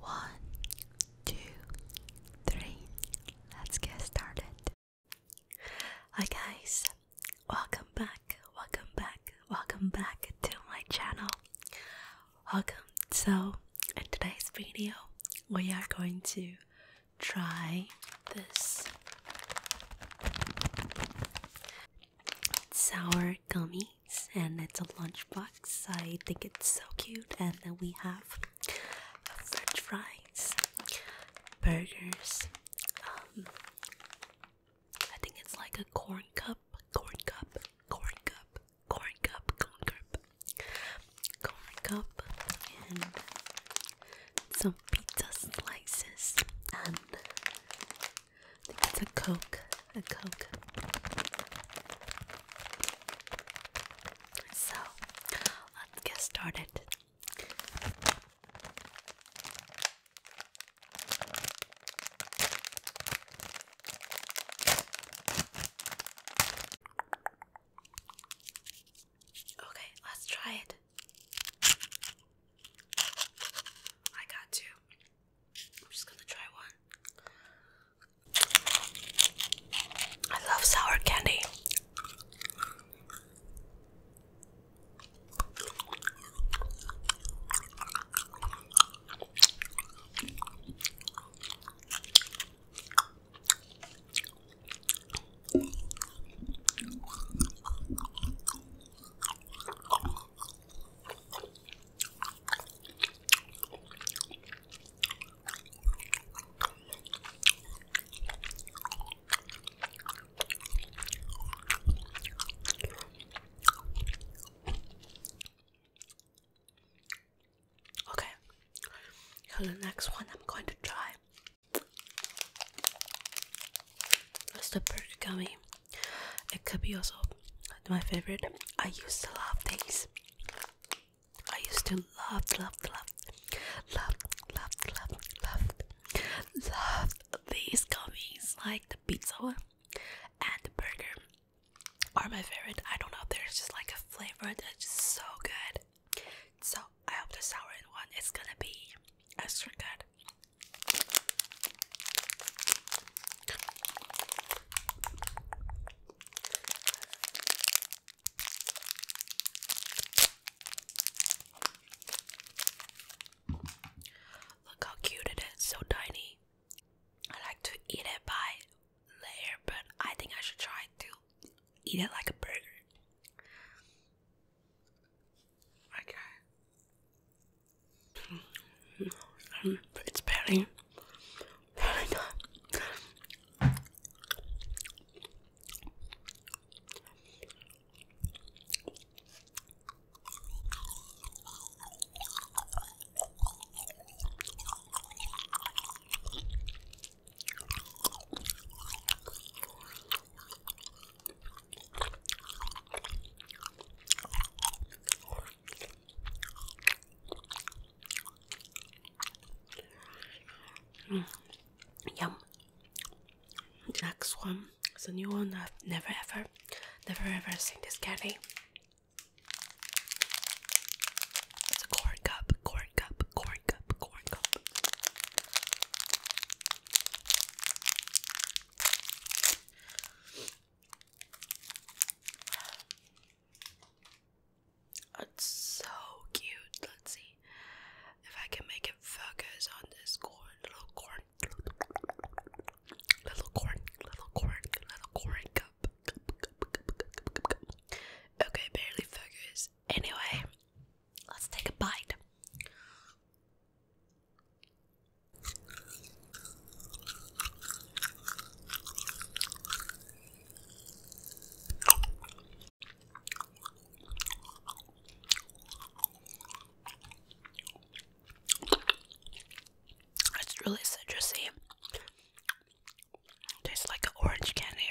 One, two, three. Let's get started. Hi guys, welcome back, welcome back, welcome back to my channel. Welcome. So, in today's video, we are going to try this sour gummy and it's a lunchbox. I think it's so cute. And then we have french fries, burgers, um, I think it's like a corn cup, corn cup, corn cup, corn cup, corn cup, corn cup, and some pizza slices and I think it's a Coke. A Coke. So let's get started. Okay, let's try it. I got two. I'm just gonna try one. I love sour candy. Okay, so the next one I'm going to try that's the burger gummy. It could be also my favorite. I used to love these. I used to love, love, love, love, love, love, love, love these gummies. Like the pizza and the burger are my favorite. I don't know. There's just like a flavor that's just so good. So I hope the sour one is gonna be extra good. Look how cute it is, so tiny. I like to eat it by layer, but I think I should try to eat it like a burger. Okay. Um, it's very, very good. Mm. Yum. The next one is a new one I've never ever, never ever seen this candy. It's a corn cup, corn cup corn cup, corn cup. It's so cute. Let's see if I can make it focus on this corn, little corn, little corn, little corn, little corn cup. Okay, barely focus. Anyway, let's take a bite. It's really citrusy. Tastes like orange candy.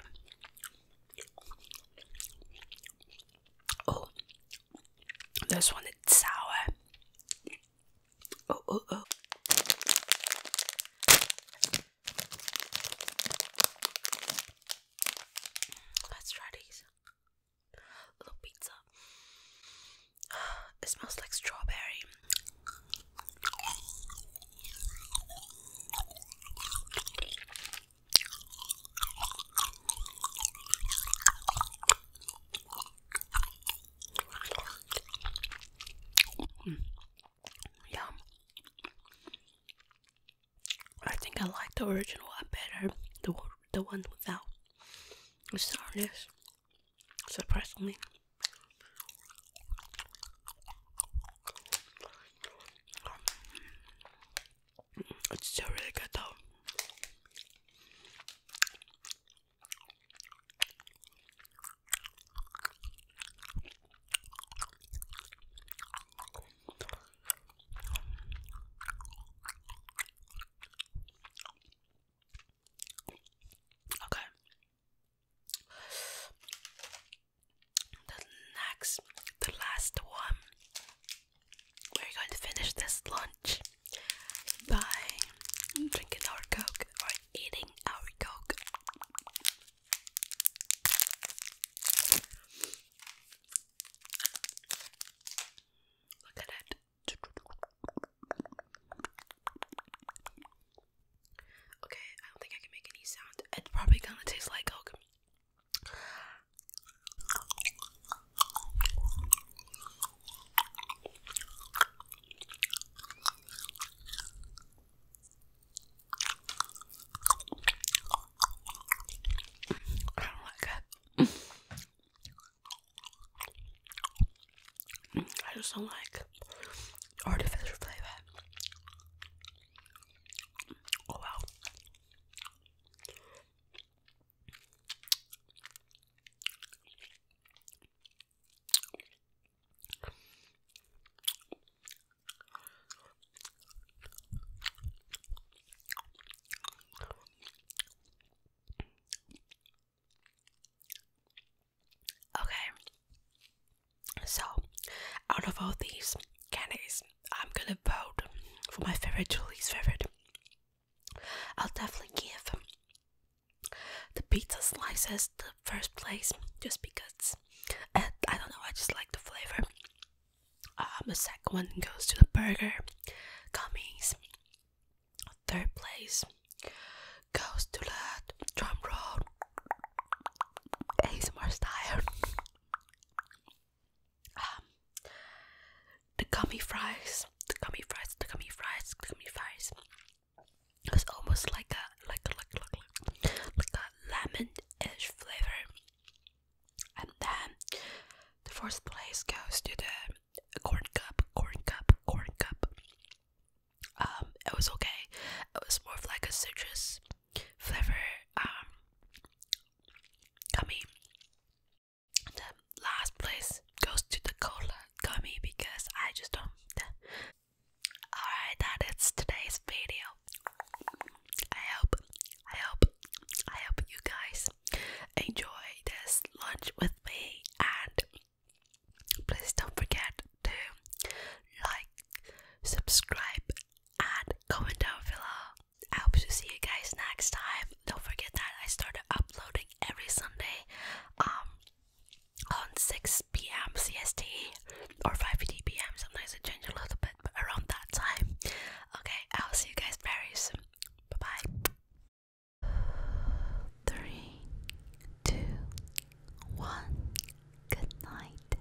Oh, this one is sour. Oh, oh, oh. Let's try these. Little pizza. It smells like strawberry. Yum. I think I like the original one better, the the one without the sourness surprisingly. It's still really good though. Okay. The next, the last one, we're going to finish this lunch by drinking our coke or eating our coke. Look at it. Okay, I don't think I can make any sound. It's probably gonna taste like oak. I do I just don't like artificial flavor. Oh wow. Okay, so out of all these candies, I'm gonna vote for my favorite Julie's favorite. I'll definitely give the pizza slices the first place just because uh, I don't know, I just like the flavor. Um, the second one goes to the burger, gummies. Third place goes to the drum roll, style. Um, the gummy fries, the gummy fries, the gummy fries, the gummy fries. It's almost like a like a, like a, like a, like a lemon-ish flavor. And then the first place goes to the corn cup, corn cup, corn cup. Um, it was okay. It was more of like a citrus flavor, um, gummy. And the last place goes to the cola gummy because I just don't. Alright, that is today's video. I hope, I hope, I hope you guys enjoy this lunch with me and please don't forget to like, subscribe and comment down below. I hope to see you guys next time. Don't forget that I started uploading every Sunday um on 6 p.m. CST or 5:30 p.m. Sometimes it changes a little bit, but around that time. Okay, I'll see you guys very soon. Bye bye. Three, two, one. Good night.